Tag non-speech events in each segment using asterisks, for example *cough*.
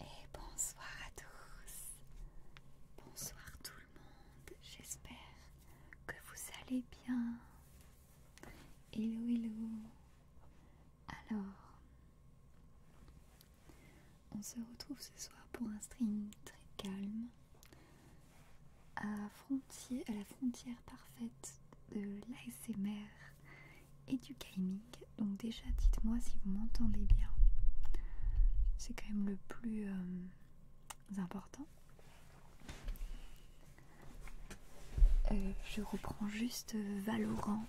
Et bonsoir à tous. Bonsoir tout le monde. J'espère que vous allez bien. Hello, hello. Alors, on se retrouve ce soir pour un stream très calme à, la frontière parfaite de l'ASMR et du gaming. Donc déjà, dites-moi si vous m'entendez bien. C'est quand même le plus euh, important. Euh, je reprends juste Valorant.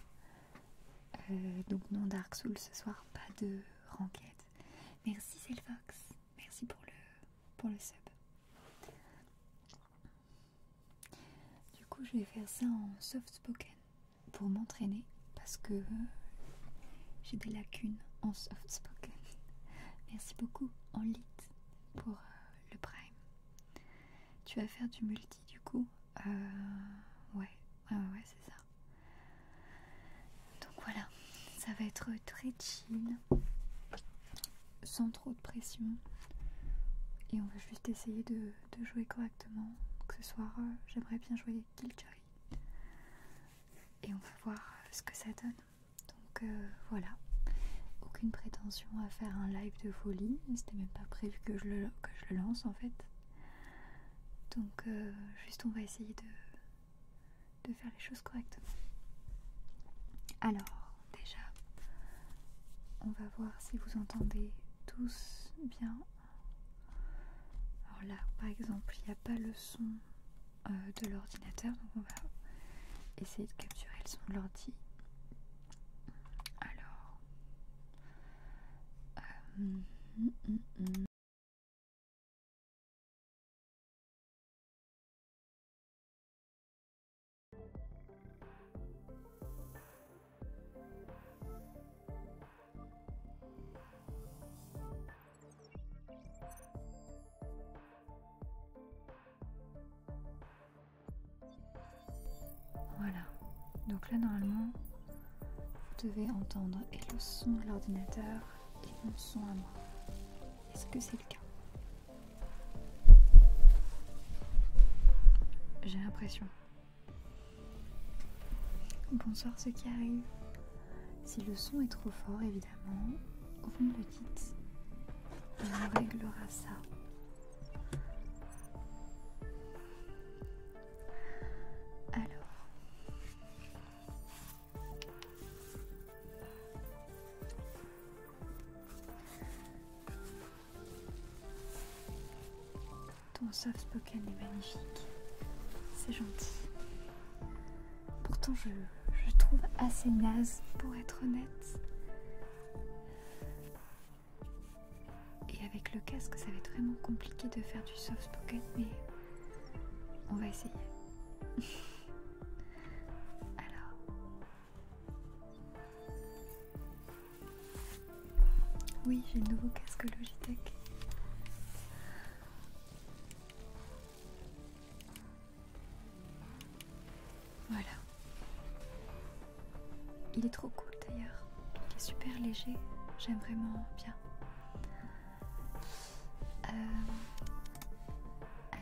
Euh, donc non Dark Souls ce soir, pas de renquête. Merci Cellfox, merci pour le sub. Du coup, je vais faire ça en soft spoken pour m'entraîner parce que j'ai des lacunes en soft spoken. *laughs* Merci beaucoup en lit pour euh, le prime. Tu vas faire du multi du coup euh, Ouais, ouais, ouais, c'est ça. Donc voilà, ça va être très chill sans trop de pression. Et on va juste essayer de, jouer correctement. ce soir, euh, j'aimerais bien jouer Killjoy Et on va voir euh, ce que ça donne. Donc euh, voilà. Aucune prétention à faire un live de folie. C'était même pas prévu que je, le, lance en fait. Donc juste on va essayer de, de faire les choses correctement. Alors, déjà. On va voir si vous entendez tous bien. Alors là, par exemple, il n'y a pas le son euh, de l'ordinateur, donc on va essayer de capturer le son de l'ordi. Alors... Euh, mm, mm, mm, voilà. Donc là, normalement, vous devez entendre et le son de l'ordinateur qui mon son à moi. Est-ce que c'est le cas j'ai l'impression. Bonsoir ceux qui arrivent. Si le son est trop fort, évidemment, vous me dites. on réglera ça. Alors. Ton soft spoken est magnifique. C'est gentil. Pourtant, je, le trouve assez naze pour être honnête. Et avec le casque, ça va être vraiment compliqué de faire du soft spoken, mais on va essayer. *laughs* Alors, oui, j'ai le nouveau casque Logitech. Voilà. Il est trop cool d'ailleurs. Il est super léger. J'aime vraiment bien. Euh, allez.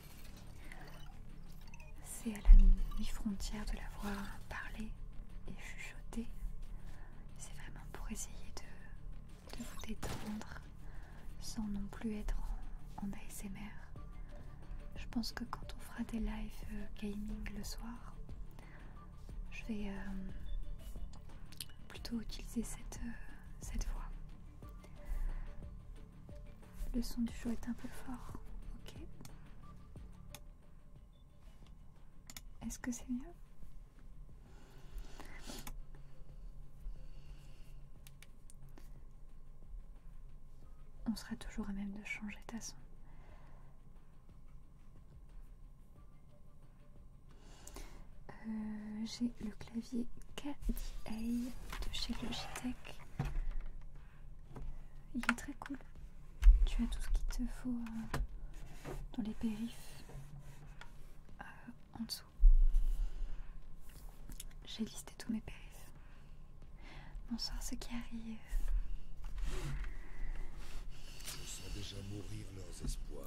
C'est à la mi-frontière de la voix parler et chuchoter. C'est vraiment pour essayer de, vous détendre sans non plus être en, ASMR. Je pense que quand on fera des live euh, gaming le soir, je vais euh, plutôt utiliser cette, euh, cette voix. Le son du jeu est un peu fort. Ok. Est-ce que c'est mieux On sera toujours à même de changer ta son. Euh, j'ai le clavier KDA de chez Logitech. Il est très cool. Tu as tout ce qu'il te faut euh, dans les périphes euh, en dessous. J'ai listé tous mes périphes. Bonsoir, ce qui arrive. déjà mourir espoirs.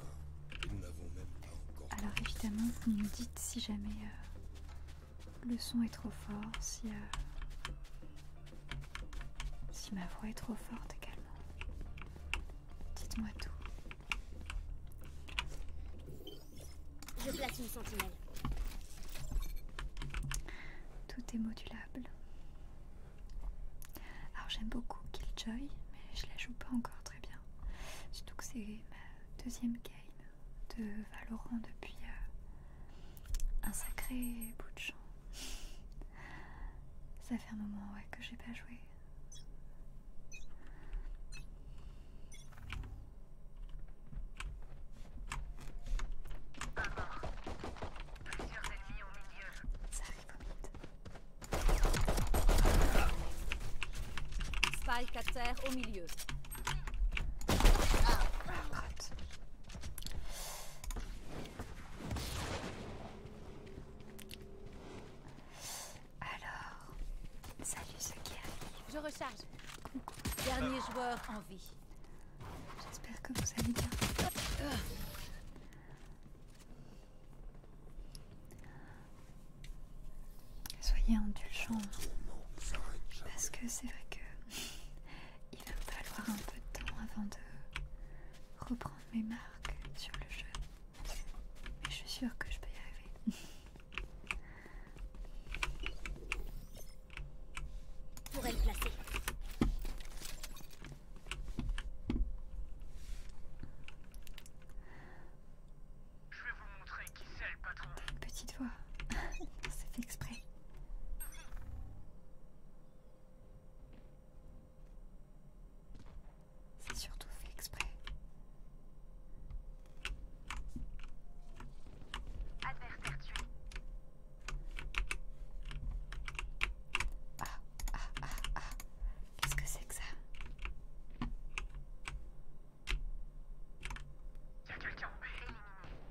Alors évidemment, vous me dites si jamais euh, le son est trop fort, si, euh, si ma voix est trop forte également. Dites-moi tout. Je place une Tout est modulable. Alors j'aime beaucoup Killjoy, mais je la joue pas encore très bien. Surtout que c'est ma deuxième game de Valorant depuis euh, un sacré bout de champ. Ça fait un moment ouais, que j'ai pas joué. Pas mort. Plusieurs ennemis au milieu. Ça arrive au mid. Spike à au milieu. Alors, salut ce qui arrive. Je recharge. Dernier ah. joueur en vie. J'espère que vous allez bien. Soyez indulgents. Parce que c'est vrai que il va me falloir un peu de temps avant de reprendre mes marques sur le jeu. Mais je suis sûre que je peux y arriver. Pour Je vais vous montrer Petite voix. *laughs* C'est fait exprès. C'est surtout fait exprès. Adversaire Ah, ah, ah, ah. Qu'est-ce que c'est que ça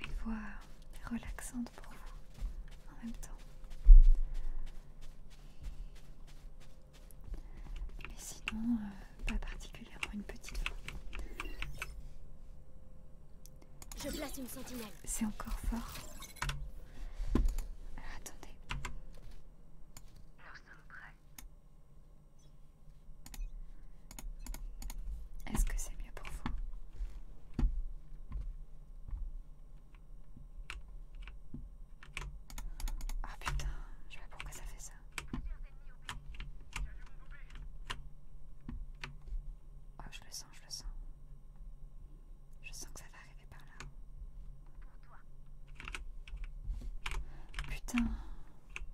une voix relaxante pour vous en même temps. Mais sinon, euh, pas particulièrement une petite voix. Je place une sentinelle. C'est encore fort. Euh, attendez. Nous sommes prêts. Est-ce que c'est mieux pour vous ah putain, je sais pas pourquoi ça fait ça. Oh, je le sens, je le sens. Je sens que ça va arriver par là. Putain.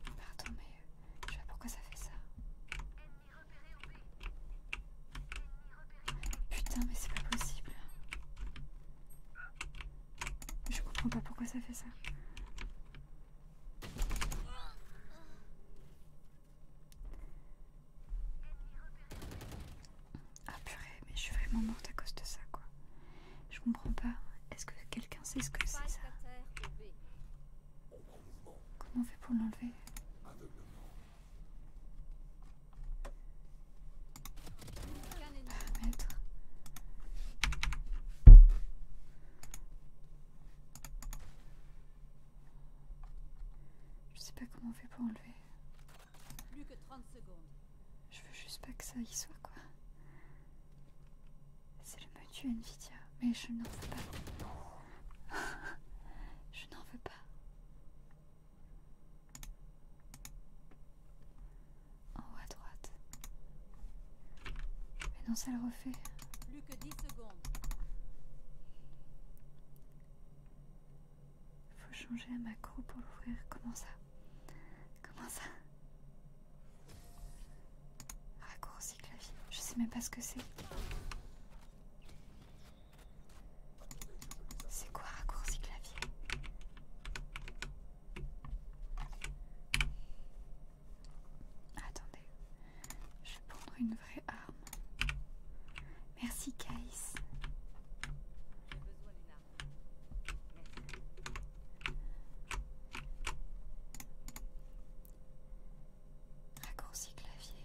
Pardon, mais je sais pas pourquoi ça fait ça. Putain, mais c'est pas possible. Je comprends pas pourquoi ça fait ça. Ah purée, mais je suis vraiment morte à cause de ça, quoi. Je comprends pas. Est-ce que quelqu'un sait ce que c'est ça Comment on fait pour l'enlever je sais pas comment on fait pour enlever. 30 Je veux juste pas que ça y soit quoi. C'est le menu Nvidia, mais je n'en veux pas. *laughs* Je n'en veux pas. En haut à droite. Mais non, ça le refait. Plus que 10 secondes. Il Faut changer un macro pour l'ouvrir. Comment ça Comment ça Raccourci clavier. Je sais même pas ce que c'est. C'est quoi raccourci clavier Attendez, je vais prendre une vraie arme. Merci Case. Raccourci clavier.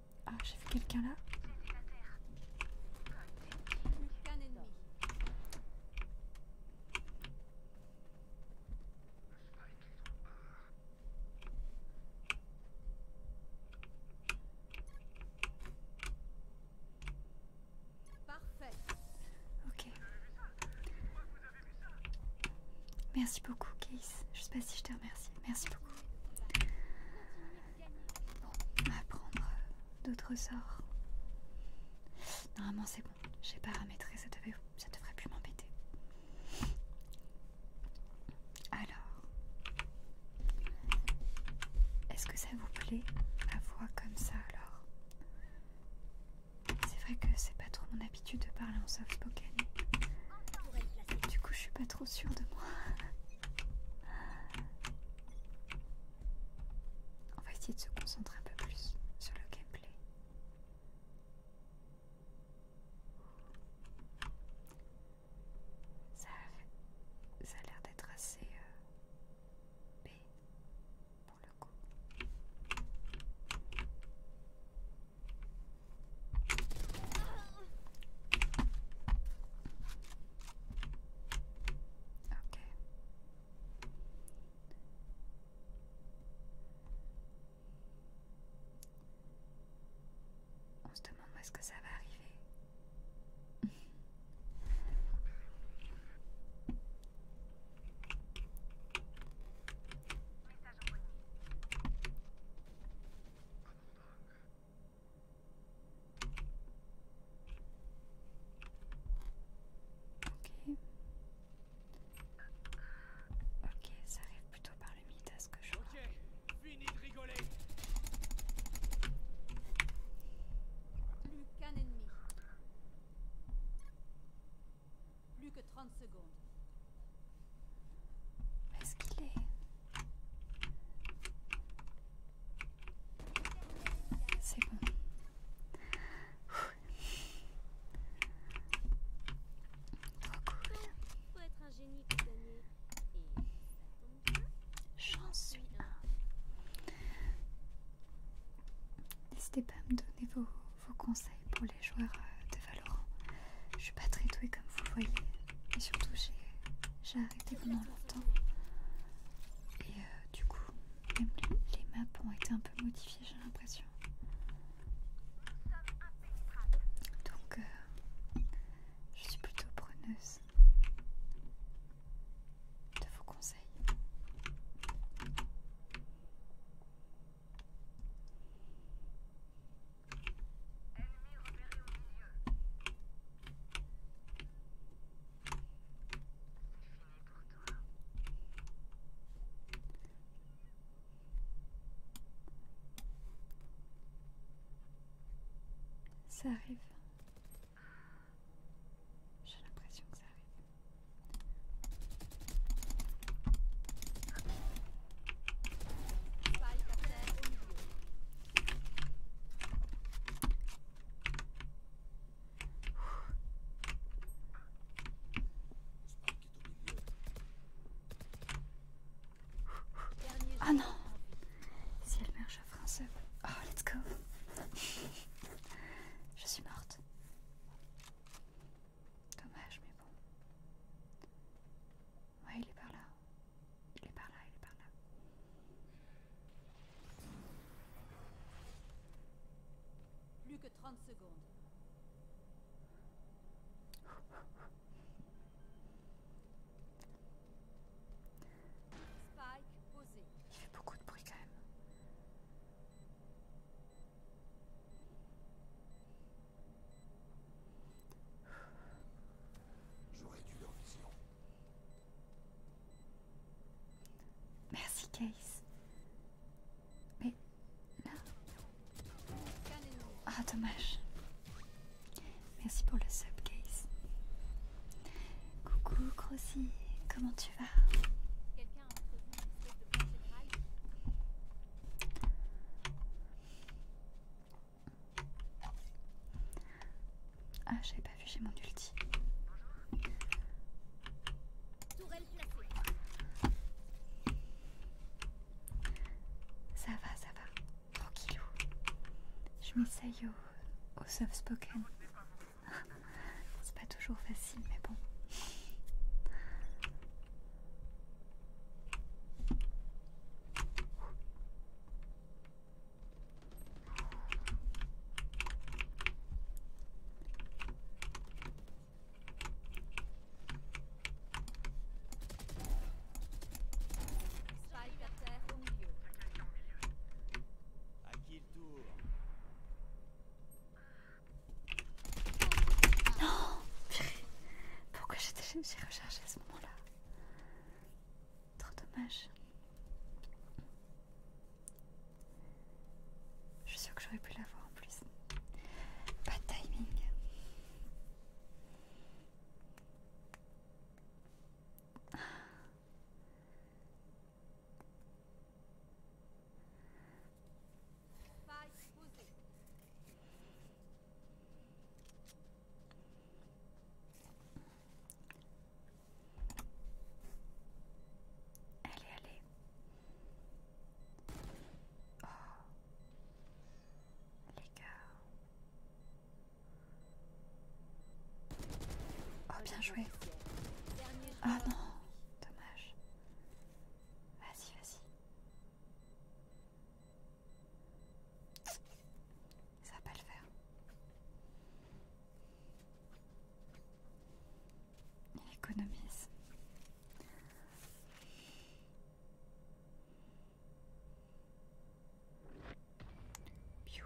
Ah, j'ai vu quelqu'un là. Parfait. Ok. Merci beaucoup, Case. Je sais pas si je te remercie. Merci beaucoup. Bon, apprendre euh, d'autres sorts. Normalement c'est bon, j'ai paramétré, ça, ça devrait plus m'embêter. Alors, est-ce que ça vous plaît à voix comme ça alors C'est vrai que c'est pas trop mon habitude de parler en soft spoken. Du coup je suis pas trop sûre de moi. *laughs* On va essayer de se concentrer un peu plus sur le gameplay. Ça a, l'air d'être assez euh, pour le coup. On se demande où est-ce que ça va arriver. Ok. Ok, ça arrive plutôt par le mythe à ce que je vois. Ok, fini de rigoler. Plus qu'un ennemi. Plus que 30 secondes. Est-ce qu'il est... C'est bon. Trop cool. J'en suis un. N'hésitez pas à me donner vos, conseils pour les joueurs euh, de Valorant. Je suis pas très douée comme vous voyez. Et surtout, j'ai été pendant longtemps. Et euh, du coup, même les maps ont été un peu modifiées, j'ai l'impression. Donc, euh, je suis plutôt preneuse de vos conseils. au milieu. Ça arrive. J'ai l'impression que ça arrive. Ah non Si elle meurt, j'offre un seul, Oh, let's go Je suis morte. Dommage, mais bon. Ouais, il est par là. Il est par là, il est par là. Plus que 30 secondes. Spike posé. Il fait beaucoup de bruit quand même. J'aurais dû leur vision. Merci, Case. Mais là. Ah, dommage. Merci pour le sub, Case. Coucou, Crossy. Comment tu vas ah, j'avais pas vu, j'ai mon ulti. Ça va, ça va. Tranquillou. Je m'essaye au, au soft spoken. *laughs* C'est pas toujours facile, mais bon. Non oh, Pourquoi j'ai recherché à ce moment-là Trop dommage. Je suis sûre que j'aurais pu l'avoir en plus. Pas de timing. Allez, allez. Oh. Les gars. Oh, bien joué. Ah oh, non, dommage. Vas-y, vas-y. Ça va pas le faire. Il économise. Piu.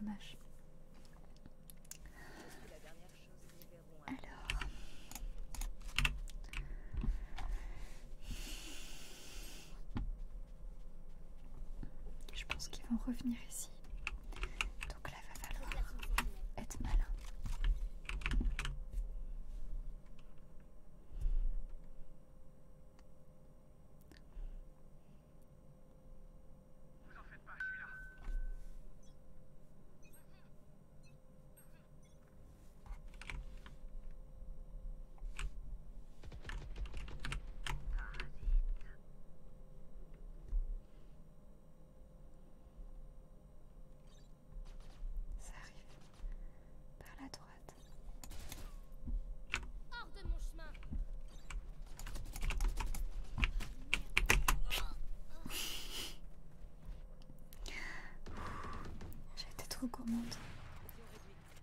Dommage. Alors, je pense qu'ils vont revenir ici. Donc là, va falloir être malin. Vous en faites pas, je suis là. Ça arrive par la droite. Hors de mon chemin. J'ai été trop gourmande.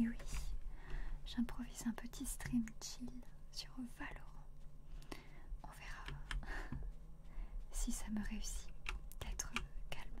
Et oui, j'improvise un petit stream chill sur Valorant. On verra si ça me réussit d'être calme.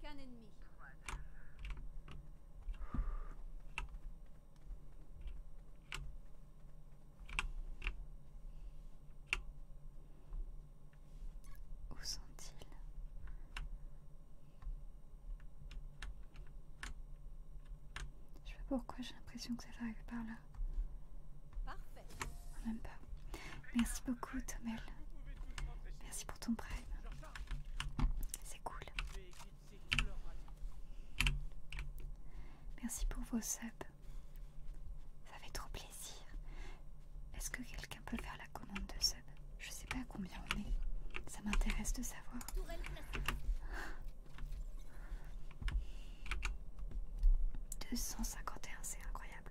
qu'un ennemi. Où sont-ils Je sais pas pourquoi j'ai l'impression que ça arrive par là. Parfait pas. Merci beaucoup, Tomel. Merci pour ton prime. C'est cool. Merci pour vos subs. Ça fait trop plaisir. Est-ce que quelqu'un peut faire la commande de subs Je sais pas combien on est. Ça m'intéresse de savoir. « 251, c'est incroyable.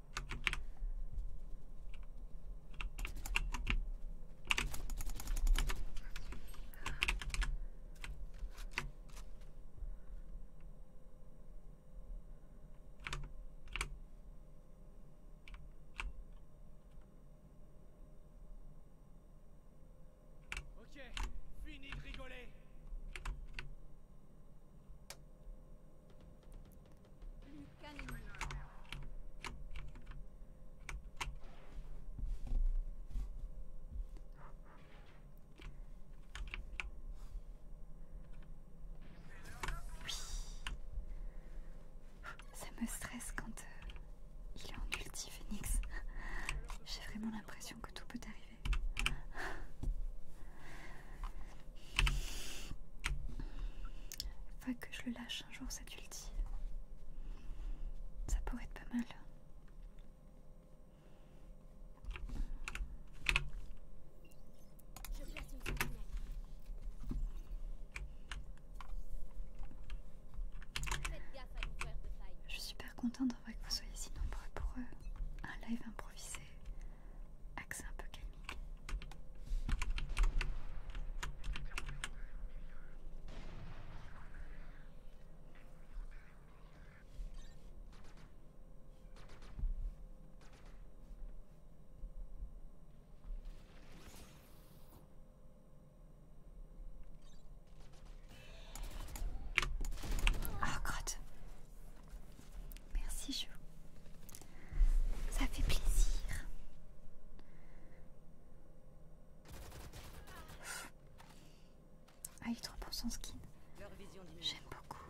Ok, Fini de rigoler oui. Ça me stresse quand euh, il est en multi Phoenix. J'ai vraiment l'impression que tout peut arriver que je le lâche un jour le ulti. Ça pourrait être pas mal. Je suis super contente d'avoir que vous soyez si nombreux pour un live improvisé, accès un peu ah, oh, Gott. Merci, Chou. Ça fait plaisir. Ah, il est trop bon son skin. J'aime beaucoup.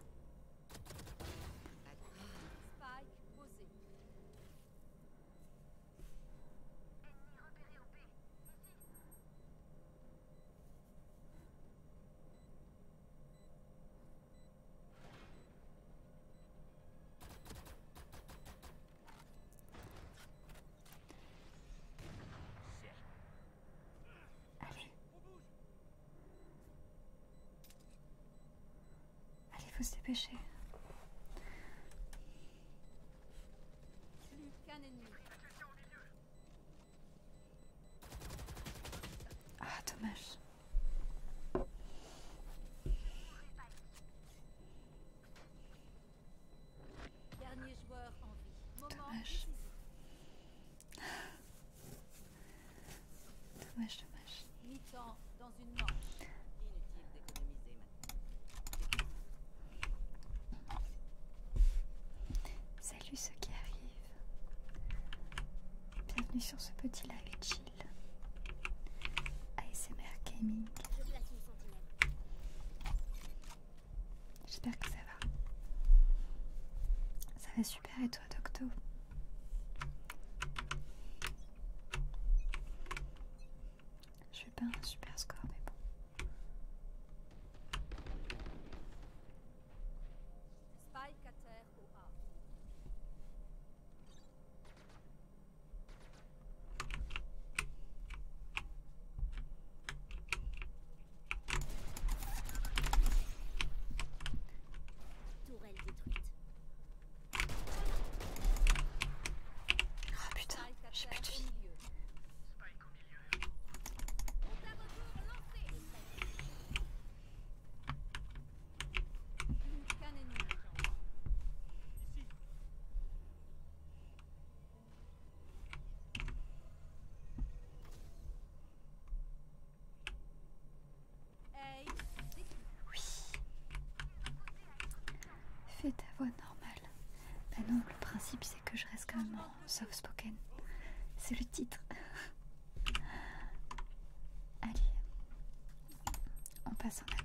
Allez. Allez, faut se dépêcher. Plus qu'un ennemi. Ah, dommage. Dernier joueur en vie. Dommage. Dommage, dommage. dans une manche. Inutile d'économiser maintenant. Salut ceux qui arrivent. Bienvenue sur ce petit live J'espère que ça va. Ça va super et toi Docto Je fais pas un super score mais bon. Tourelle détruite. Oh, putain, j'ai plus de vie. Oui. Fais ta voix normale. Ben non, le principe c'est que je reste quand même soft spoken. C'est le titre. Allez, on passe en attaque.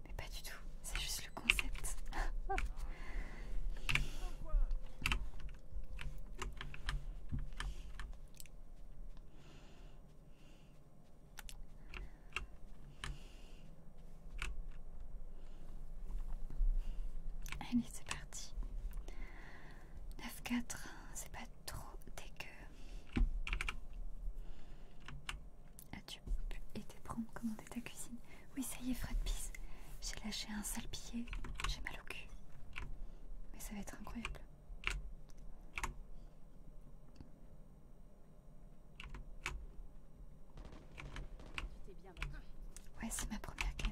mais pas du tout, c'est juste le concept. *laughs* Allez, c'est parti. 9-4, c'est pas trop dégueu. Et t'es prends commander ta cuisine Oui, ça y est, Fred Peace. J'ai lâché un sale billet. J'ai mal au cul. Mais ça va être incroyable. Ouais, c'est ma première game.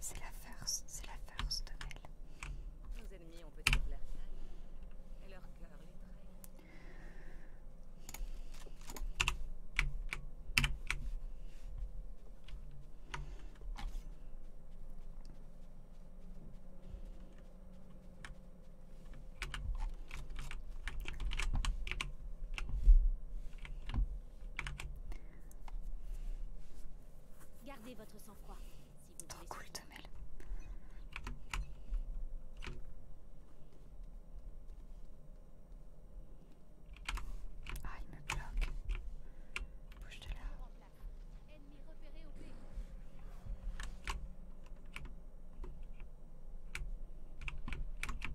c'est la force, c'est la force de Mel. Nos ennemis ont peut-être la taille et leur cœur les traîne. Gardez votre sang-froid. Si vous Trop cool, Tomel. Ah, il me bloque. Bouge de là. Ennemi repéré au pays.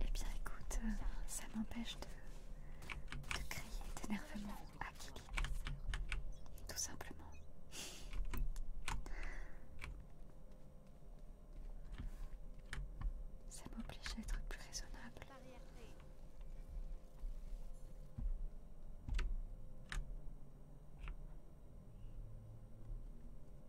Eh bien écoute, euh, ça m'empêche de, de crier d'énervement à qui Tout simplement. Ça m'oblige à être plus raisonnable.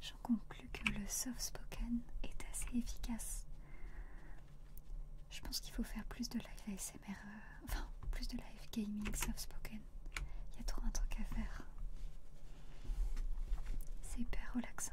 J'en conclus que le soft spoken est assez efficace. Je pense qu'il faut faire plus de live ASMR, euh, enfin plus de live gaming soft spoken. Il y a trop un truc à faire. C'est hyper relaxant.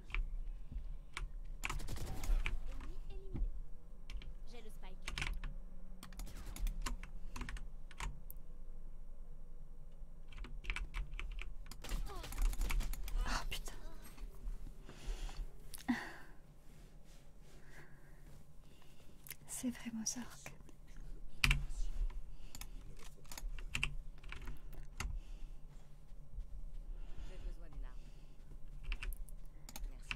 J'ai le spike. Oh putain. C'est vraiment ça. J'ai besoin d'une arme. Merci.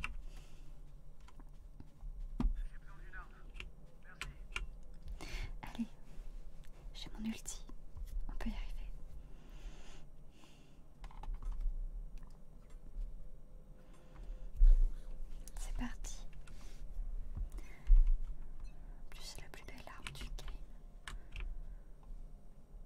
Allez, j'ai mon ulti. On peut y arriver. C'est parti. plus, c'est la plus belle arme du game.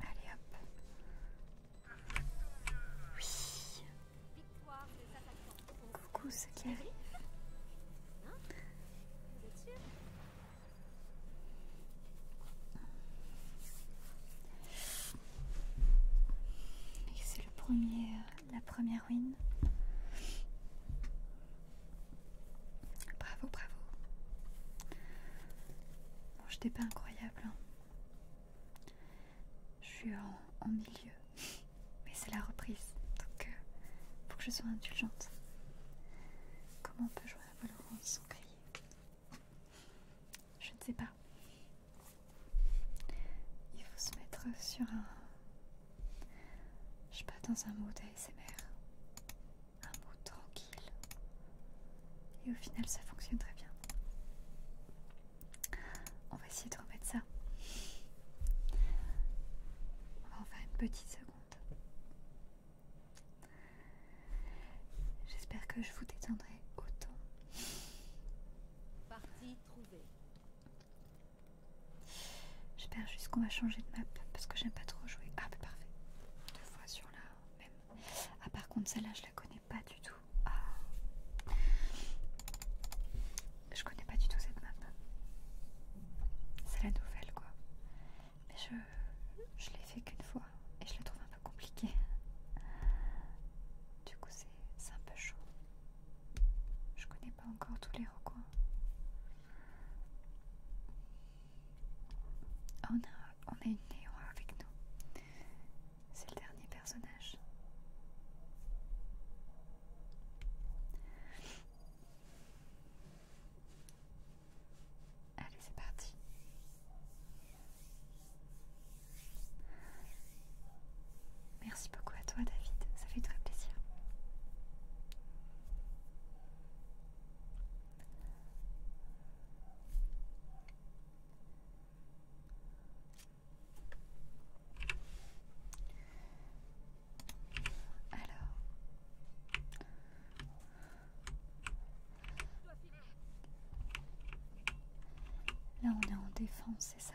Allez hop Victoire de Tata. Coucou ce qui arrive. C'est le premier euh, la première ruine. Bravo, bravo. Bon, je pas incroyable. Hein. Je suis en, milieu. *laughs* Mais c'est la reprise. Donc, euh, faut que je sois indulgente. Comment on peut jouer à Valorant sans crier Je ne sais pas. Il faut se mettre sur un. Je sais pas, dans un mode ASMR un mot tranquille. Et au final, ça fonctionne très bien. On va essayer de remettre ça. On va en faire une petite seconde. J'espère que je vous détendrai autant. Partie trouvée. J'espère juste qu'on va changer de map parce que j'aime pas trop jouer. Ah, bah parfait fois sur la même. Ah par contre celle-là je la connais pas du tout. Ah. Je connais pas du tout cette map. C'est la nouvelle quoi. Mais je, je l'ai fait qu'une fois et je la trouve un peu compliquée. Du coup c'est un peu chaud. Je connais pas encore tous les recoins. Oh on a une Néo avec nous. C'est le dernier personnage. Allez, c'est parti. Merci beaucoup à toi David, ça fait très plaisir. Alors. Là, on est en défense, c'est ça.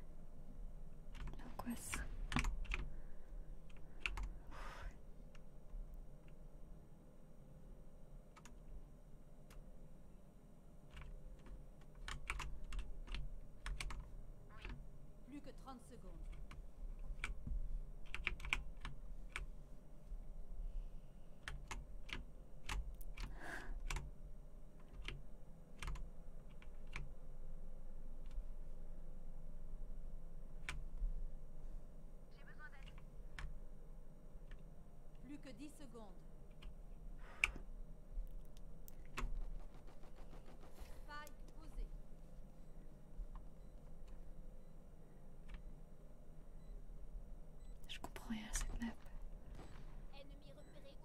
L'angoisse. Plus que 30 secondes. J'ai besoin d'aide. Plus que 10 secondes. Faille posée. Je comprends rien à cette map. Ennemi repéré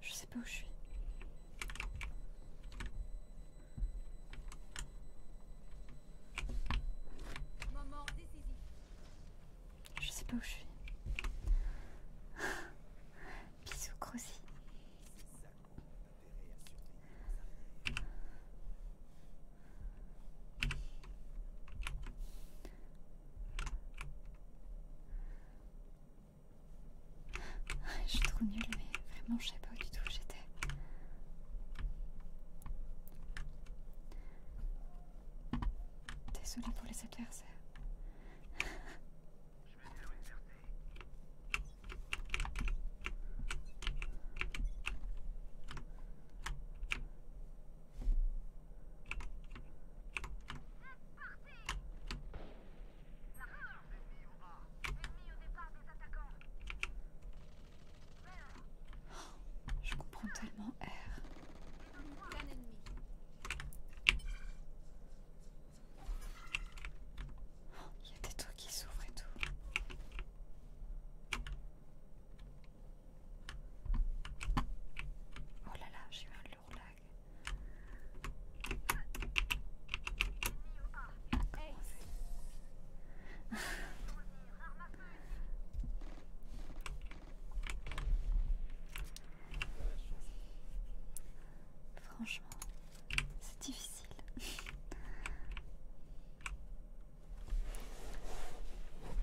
Je sais pas où je suis. Je sais pas où je suis. *laughs* Bisous, Crossy. Je suis trop nulle, mais vraiment, je sais pas du tout où j'étais. solide pour les adversaires. Je comprends tellement R. Il y a des trucs qui s'ouvrent et tout. Oh là là, j'ai eu un lourd là. Franchement, c'est difficile.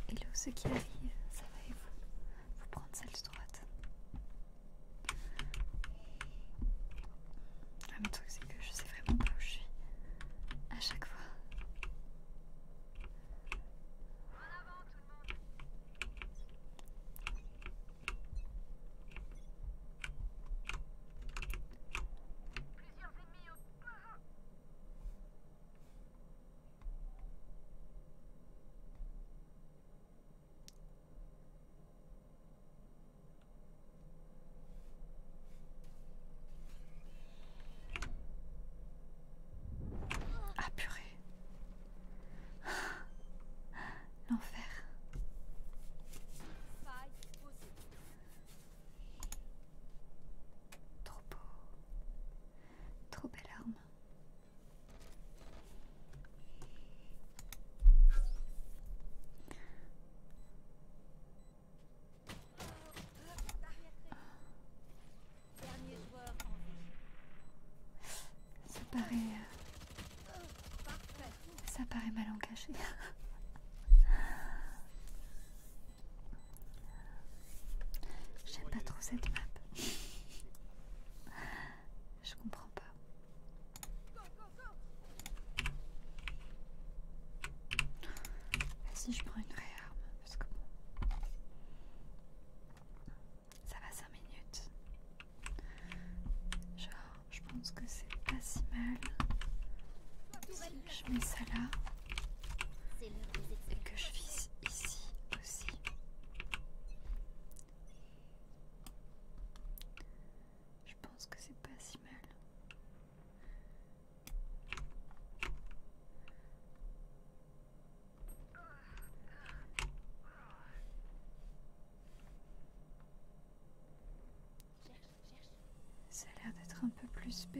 Hello, *laughs* ce qui arrive, ça va et vous Vous prendre celle de droite. Ah, le truc, c'est que je sais vraiment pas où je suis à chaque fois. Ah purée. L'enfer. Trop beau. Trop belle arme. Ça paraît... Euh, ça mal engagé J'aime pas trop cette map. Je comprends pas. Vas-y, je prends une vraie parce que bon. Ça va 5 minutes. Genre, je pense que c'est pas si mal. Si je mets ça là et que je visse ici aussi. Je pense que c'est pas si mal. Ça a l'air d'être un peu plus B.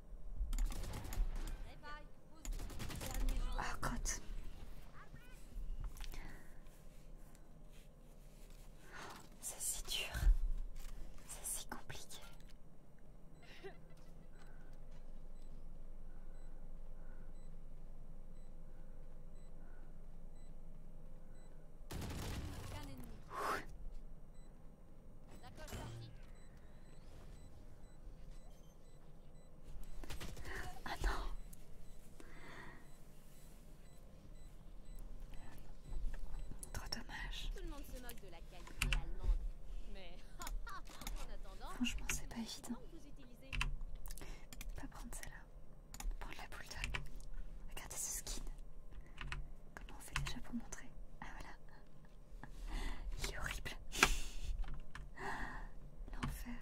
Ah, c'est si dur. C'est si compliqué. D'accord, parti. Ah non Trop dommage. Tout le monde se moque de la qualité allemande. Mais *laughs* en attendant, franchement, c'est pas évident. Pas prendre celle-là. Prendre la bulldog. Regardez ce skin. Comment on fait déjà pour montrer Ah voilà. Il est horrible. L'enfer.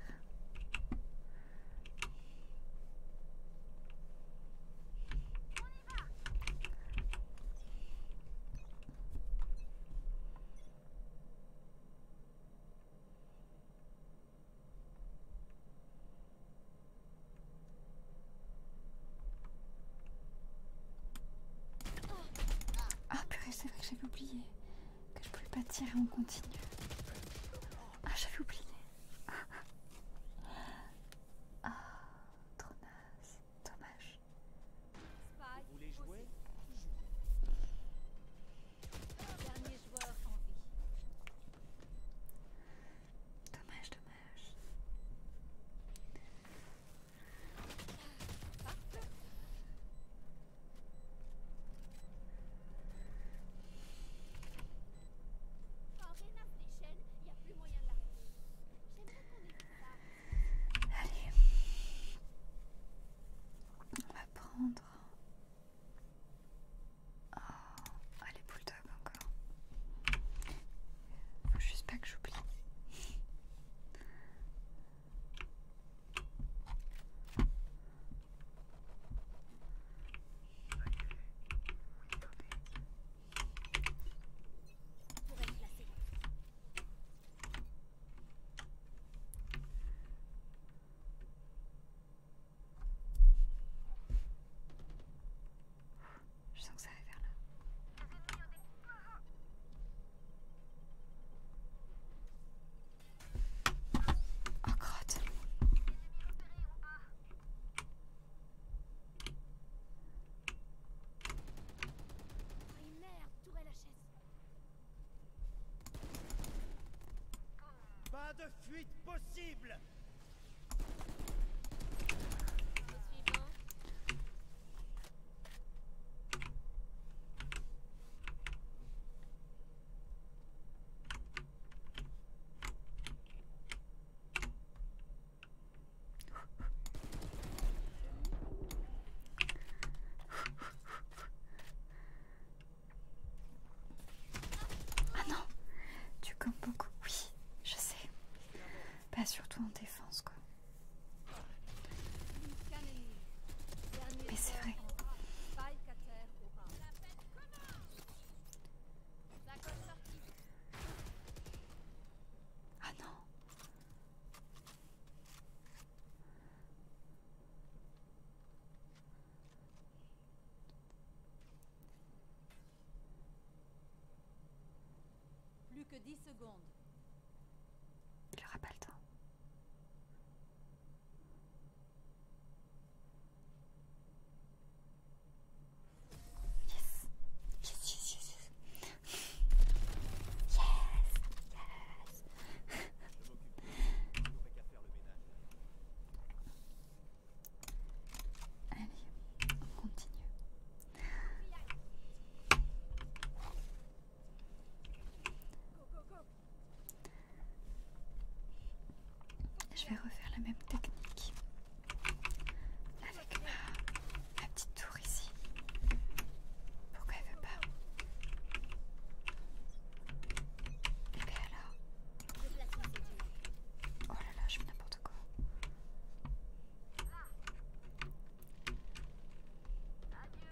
Ah purée, c'est vrai que j'avais oublié que je pouvais pas tirer en continu. Ah, j'avais oublié. Ah, trop naze. Dommage. Vous voulez jouer Dommage, dommage. Allez, on va prendre ah, Allez, les bulldogs encore. Faut juste pas que j'oublie. Je sens que ça va vers là. Oh, chaise. Pas de fuite possible ah non, tu comme beaucoup, oui, je sais. Pas surtout en défense, quoi. Mais c'est vrai. Ah non. Plus que dix secondes. Il pas le temps. Yes. Yes, yes, yes, continue. Je vais refaire la même technique avec ma, petite tour ici. Pourquoi elle veut pas Et bien alors Oh là là, je fais n'importe quoi. Allez.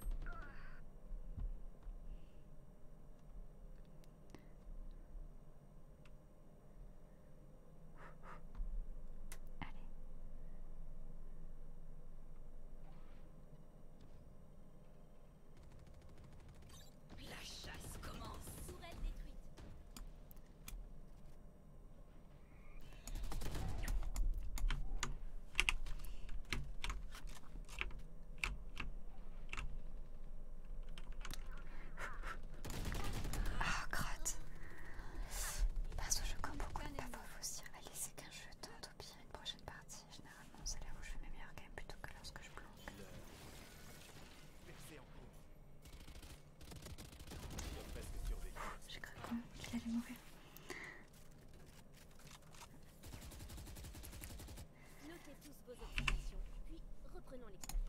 La chasse commence. détruite. Ah, Grotte Parce que je compte beaucoup de paf aussi. Allez, c'est qu'un jeu tente au pire une prochaine partie. Généralement, c'est là où je fais mes meilleurs games plutôt que lorsque je plonge. J'ai cru qu'il allait mourir. Notez tous vos observations, puis reprenons l'expérience.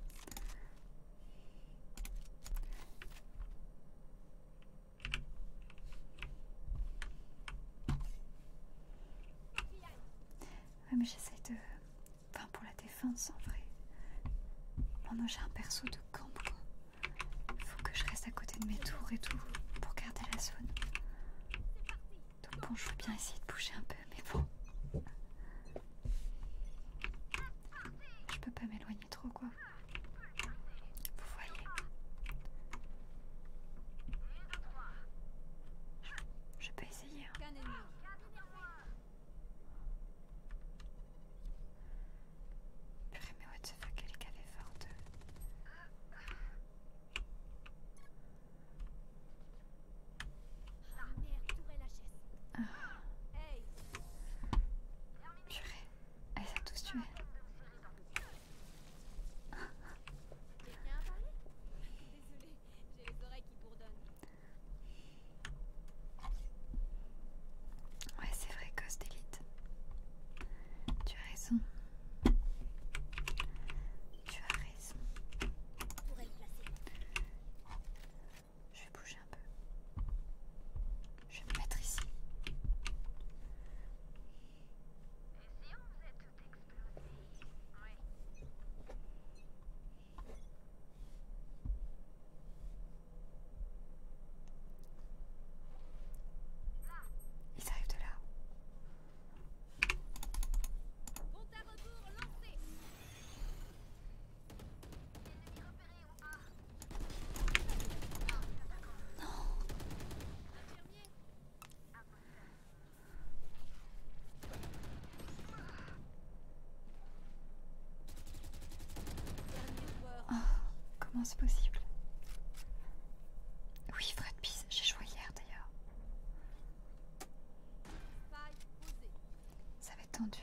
Ouais, mais j'essaie de. Enfin, pour la défense en vrai. Bon, non, j'ai un perso de camp, faut que je reste à côté de mes tours et tout pour garder la zone. Donc bon, je vais bien essayer de bouger un peu, mais bon. Je peux pas m'éloigner trop, quoi. Vous voyez Je peux essayer. Hein. Purée, mais what the fuck, elle est cavée forte. Ah Purée, elle a tous tué. Désolée, j'ai les oreilles qui bourdonnent. Ouais, c'est vrai, Ghost Elite. Tu as raison. Tu as raison. Je vais bouger un peu. Je vais me mettre ici. Ils arrivent de là. Oh, comment c'est possible oui, Fred Pise, j'ai joué hier d'ailleurs. Ça va être tendu.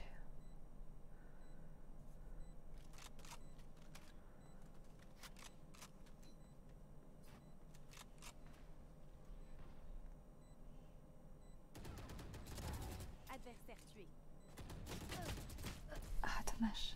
Adversaire tué. Ah, dommage.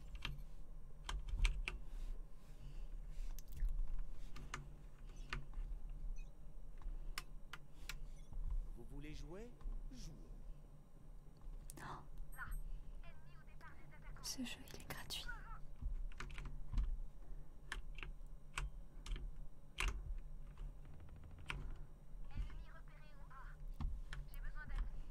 Vous voulez jouer? Jouh, ennemi au départ des attaquants. Ce jeu est gratuit. Ennemis repéré en A. J'ai besoin d'un.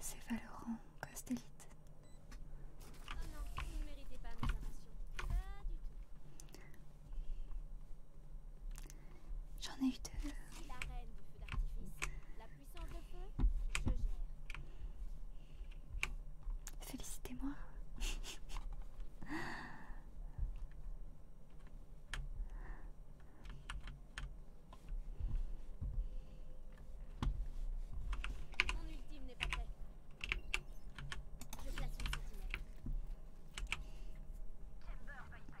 C'est Valorant Costellite. Oh non, vous ne méritez pas mes inventions. Pas du tout. J'en ai eu deux. La reine du feu d'artifice puissance de feu, je gère. Félicitez-moi. Mon ultime n'est pas prêt. Je place une centimètre. Chamber va y passer.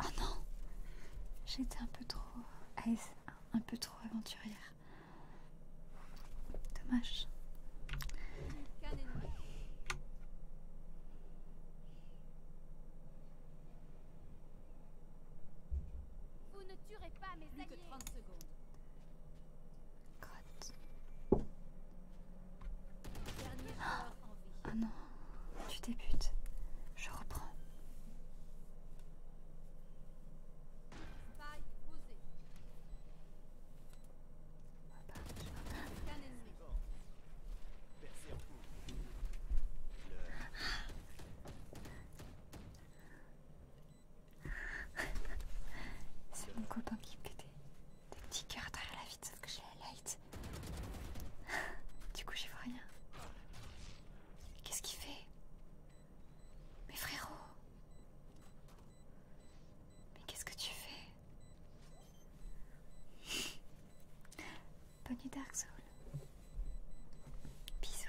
Oh non J'étais un peu trop un peu trop aventurière. Dommage. Vous ne tuez pas mes Plus alliés. que 30 secondes. God. en vie. Oh non. Tu débutes. Je reprends. C'est mon copain qui pète des petits cœurs derrière la vitre, sauf que j'ai la light du coup, j'y vois rien. Qu'est-ce qu'il fait Mais frérot Mais qu'est-ce que tu fais Bonne nuit, Dark Soul. Bisous.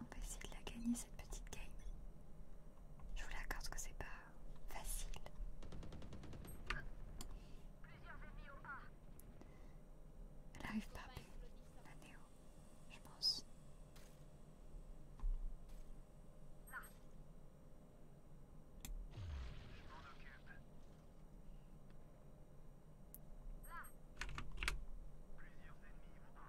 on peut essayer de la gagner cette petite game. Je vous l'accorde que c'est pas facile. Elle arrive pas, la Néo, je pense. Là. Je m'en occupe. Là. Plusieurs ennemis vont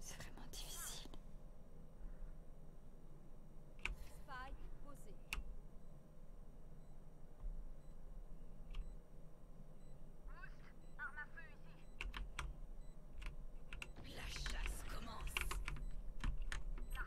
C'est vraiment difficile. Faille posée. Boost, arme à feu ici. La chasse commence. Là. Ah.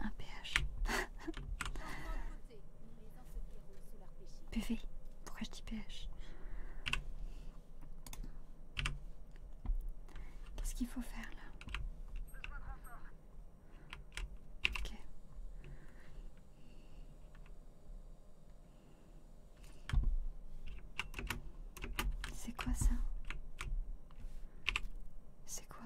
Un pH. PV. Pourquoi je dis pH Qu'est-ce qu'il faut faire là C'est quoi ça C'est quoi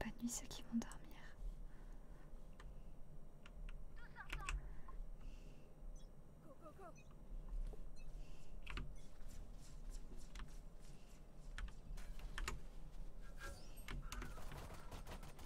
Bonne nuit ceux qui vont dormir.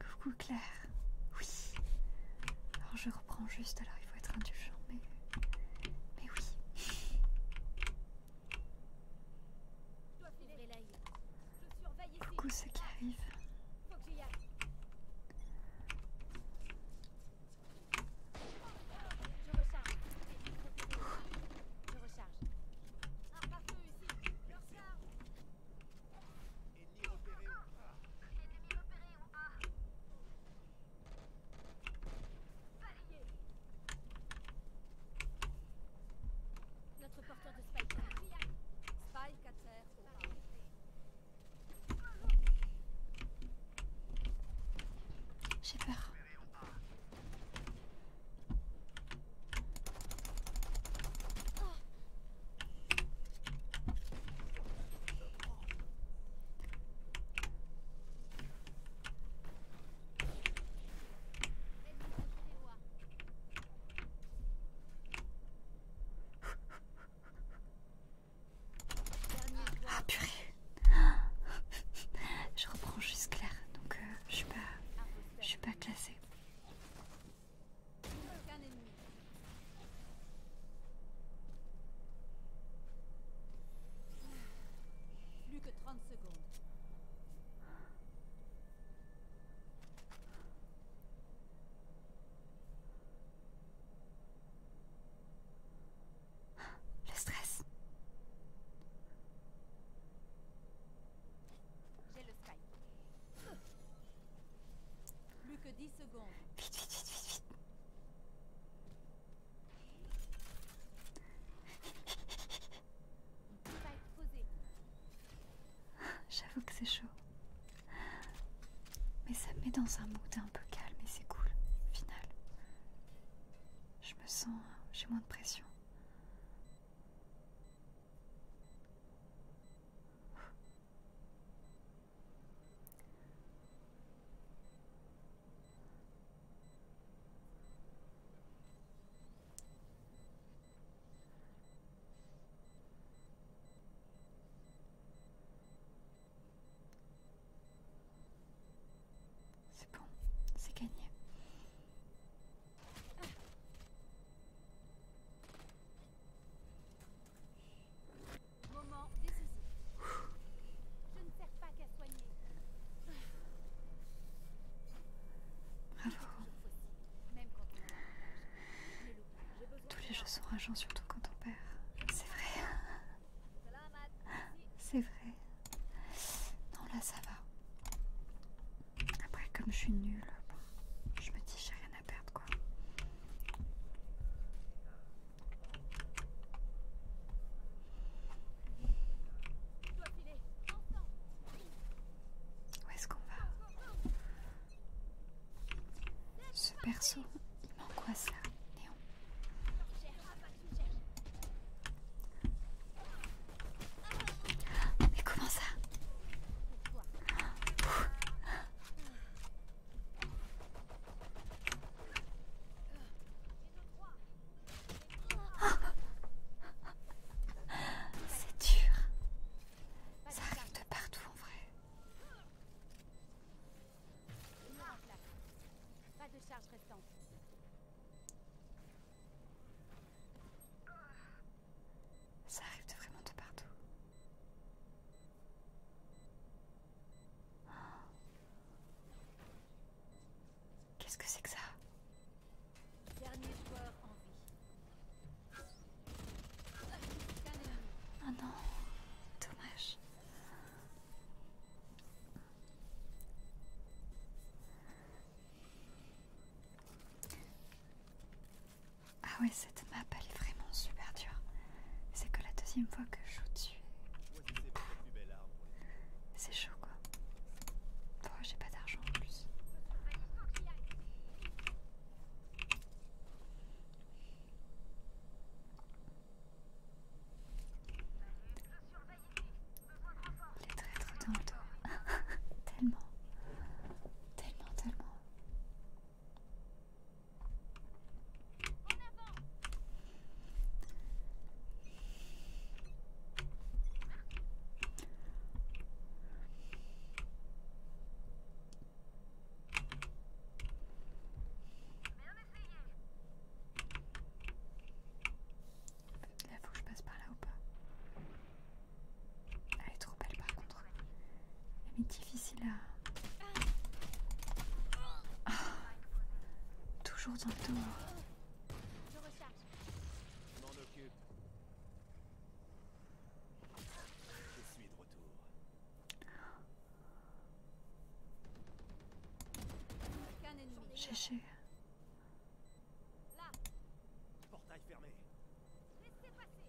Coucou Claire. Oui. Alors je reprends juste, alors il faut être indulgent, mais, mais oui. Je surveille ici. Où c'est qui arrive Faut que j'y aille. Je recharge. Je recharge. Un partout ici. Le recharge. Ennemis opéré en A. Ennemis opéré en A. Balayé. Notre porteur de Spike. Spike J'ai peur. Ah purée Je reprends juste clair, donc euh, je suis pas, je suis pas classé. Plus que 30 secondes. Le stress. J'ai le spike. Plus que 10 secondes. Ah, j'avoue que c'est chaud. Mais ça me met dans un mood un peu calme et c'est cool, final. Je me sens. j'ai moins de pression. C'est bon, c'est gagné. Moment décisif. Je ne sers pas qu'à soigner. Tous les jeux sont rageants, surtout quand on perd. C'est vrai. C'est vrai. Non, là ça va. Après, comme je suis nulle, je me dis j'ai rien à perdre quoi. Où est-ce qu'on va Ce perso, il quoi ça Néon. Mais comment ça c'est dur. Ça arrive de partout en vrai. Ça arrive vraiment de partout. Oh. Qu'est-ce que c'est que ça ah oh non, dommage. Ah ouais, cette map elle est vraiment super dure. C'est que la deuxième fois que je joue dessus. C'est chaud quoi je oh, j'ai pas d'argent en plus. Les traîtres dans le dos. tellement. Tellement, tellement. La faut que je passe par là ou pas ah, Elle est trop belle par contre. Elle est difficile à... Ah, toujours dans le dos. Je suis de retour. GG. Là. Portail fermé. Laissez passer.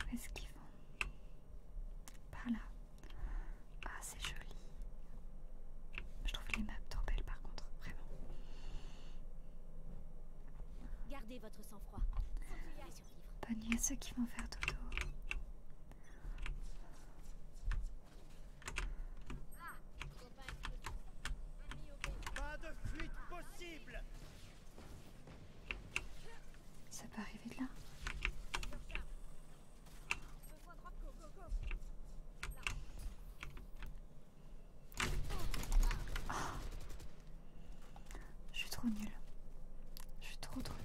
Où est-ce qu'ils vont Par là. Ah, c'est joli. Je trouve les maps trop belles par contre, vraiment. Gardez votre sang-froid. Bonne nuit à ceux qui vont faire dodo. Pas de fuite possible. Ça peut arriver de là oh. Je suis trop nul. Je suis trop trop nulle.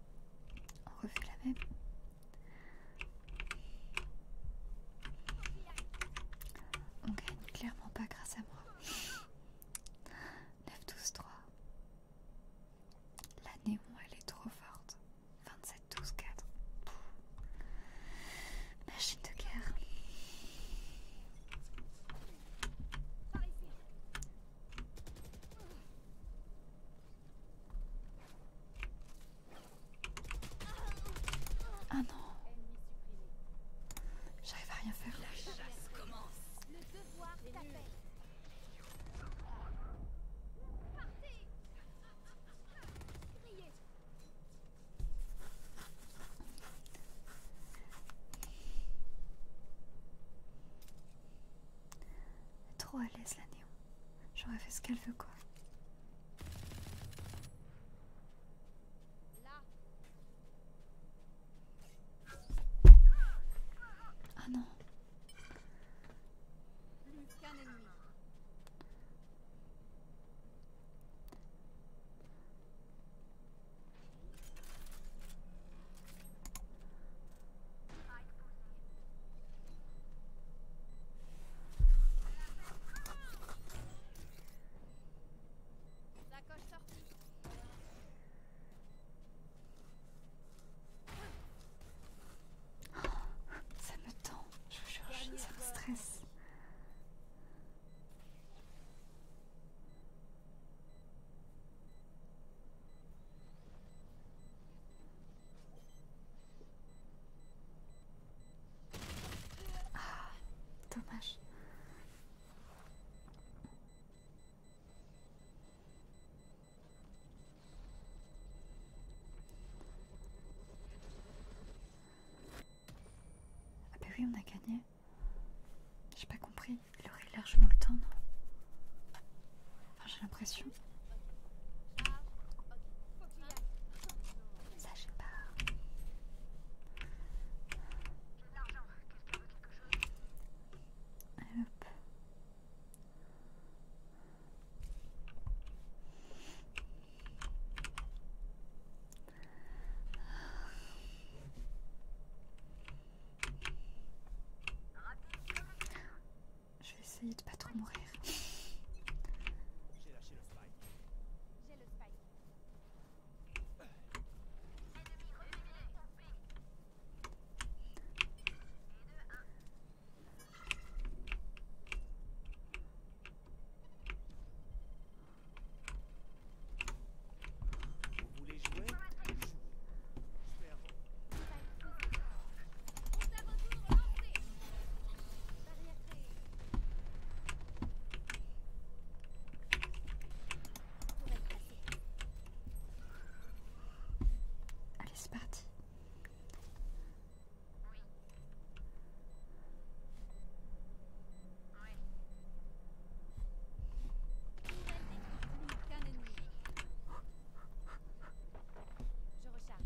On refait la même. On gagne clairement pas grâce à moi. 9-12-3. La néon, elle est trop forte. 27-12-4. Machine de guerre. Ah non. J'arrive à rien faire. La chasse commence. Le devoir est t'appelle. Trop à l'aise la néon. J'aurais fait ce qu'elle veut quoi. Ah non. La coche sortie Ça me tend, je suis en train de me stresser. Ah, dommage. Ah ben oui, on a gagné. J'ai pas compris je manque le temps, non Enfin, j'ai l'impression. Ça, je sais pas. quelque chose je vais essayer de pas trop mourir. J'ai lâché le spike. J'ai le spike. Vous voulez jouer Allez, c'est parti. Je recharge.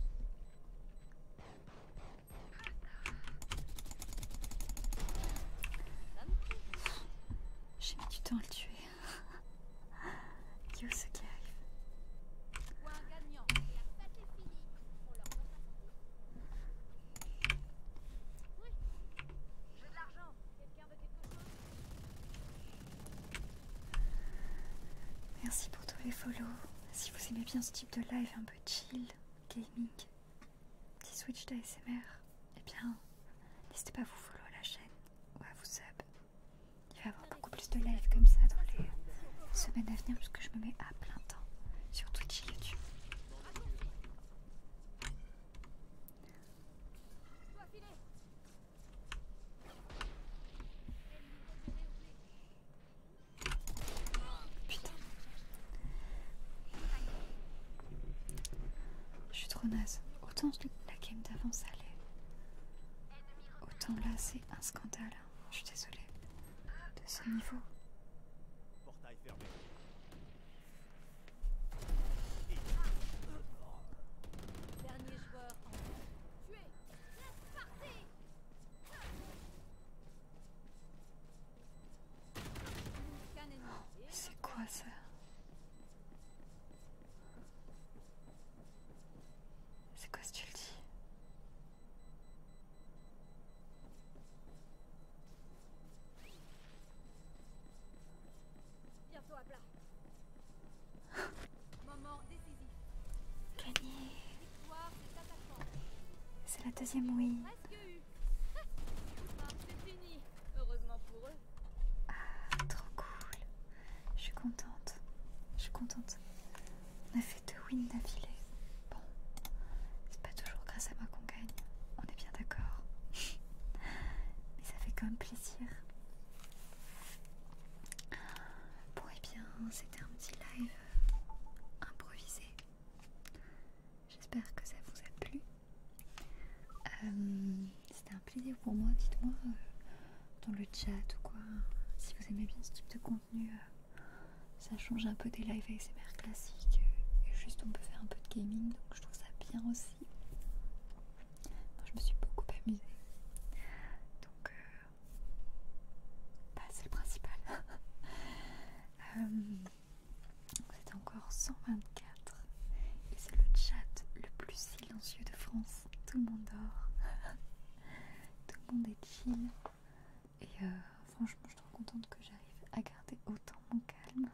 J'ai mis du temps à le tuer. *laughs* Qui ce qui arrive? Je un gagnant. La patte est finie. On leur donne la santé. Oui. Je veux de l'argent. Quelqu'un de quelque chose? Merci pour tous les follow. Si vous aimez bien ce type de live un peu chill, gaming, petit switch d'ASMR, eh bien, n'hésitez pas à vous follow à la chaîne ou à vous sub. Il va y avoir beaucoup plus de live comme ça dans les semaines à venir puisque je me mets à plein temps sur Twitch et YouTube. Putain. Je suis trop naze. Autant la game d'avant allait. Autant là c'est un scandale. Hein. Je suis désolée. De ce niveau. C'est quoi ça C'est quoi ce tu le dis Bientôt à plat. Gagné. C'est la deuxième win Ah, trop cool. Je suis contente. Je suis contente. On a fait deux wins d'affilée. Bon, c'est pas toujours grâce à moi qu'on gagne. On est bien d'accord. *laughs* Mais ça fait quand même plaisir. Bon et eh bien c'était un petit live euh, improvisé. J'espère que ça vous a plu. Euh, c'était un plaisir pour moi, dites-moi euh, dans le chat ou quoi. Si vous aimez bien ce type de contenu, ça change un peu des lives ASMR classiques. et juste on peut faire un peu de gaming, donc je trouve ça bien aussi. Moi je me suis beaucoup amusée. Donc bah, c'est le principal. *laughs* Euh, c'est encore 124 et c'est le chat le plus silencieux de France. Tout le monde dort, *laughs* tout le monde est chill et euh, franchement je suis trop contente que j'arrive à garder autant mon calme.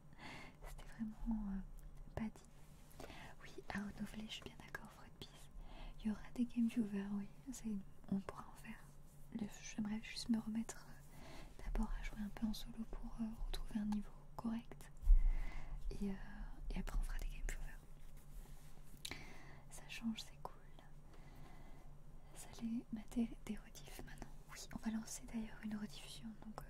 *laughs* C'était vraiment euh, pas oui, à renouveler, je suis bien d'accord, Fredbeef. Il y aura des Game viewers, oui. On pourra en faire. J'aimerais juste me remettre euh, d'abord à jouer un peu en solo pour euh, retrouver un niveau correct. Euh, et, après, on fera des Game viewers. Ça change, c'est cool. Ça les mater des rediffs maintenant. Oui, on va lancer d'ailleurs une rediffusion, donc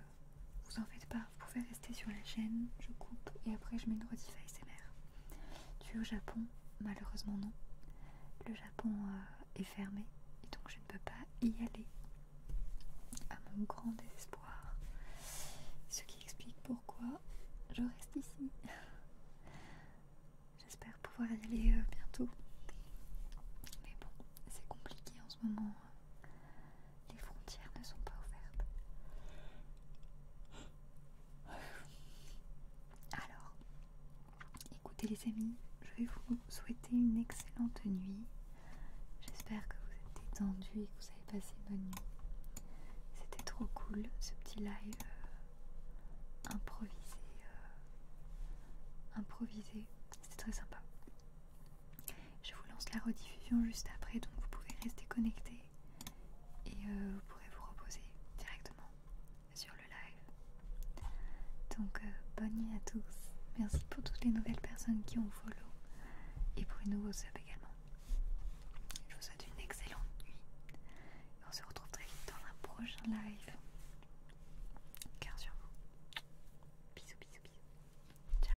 vous en faites pas, vous pouvez rester sur la chaîne, je coupe et après je mets une rediff mère. Tu es au Japon Malheureusement non. Le Japon euh, est fermé et donc je ne peux pas y aller. À mon grand désespoir. Ce qui explique pourquoi je reste ici. *laughs* J'espère pouvoir y aller euh, bientôt. Mais bon, c'est compliqué en ce moment. Hein. Les frontières ne sont pas ouvertes. Alors, écoutez les amis, je vais vous souhaiter une excellente nuit. J'espère que vous êtes détendus et que vous avez passé une bonne nuit. C'était trop cool ce petit live euh, improvisé. Euh, improvisé, c'était très sympa. Je vous lance la rediffusion juste après, donc vous pouvez rester connecté et euh, vous pourrez vous reposer directement sur le live. Donc euh, bonne nuit à tous. Merci pour toutes les nouvelles personnes qui ont follow et pour les nouveaux subs également. Je vous souhaite une excellente nuit. Et on se retrouve très vite dans un prochain live. Cœur sur vous. Bisous, bisous, bisous. Ciao.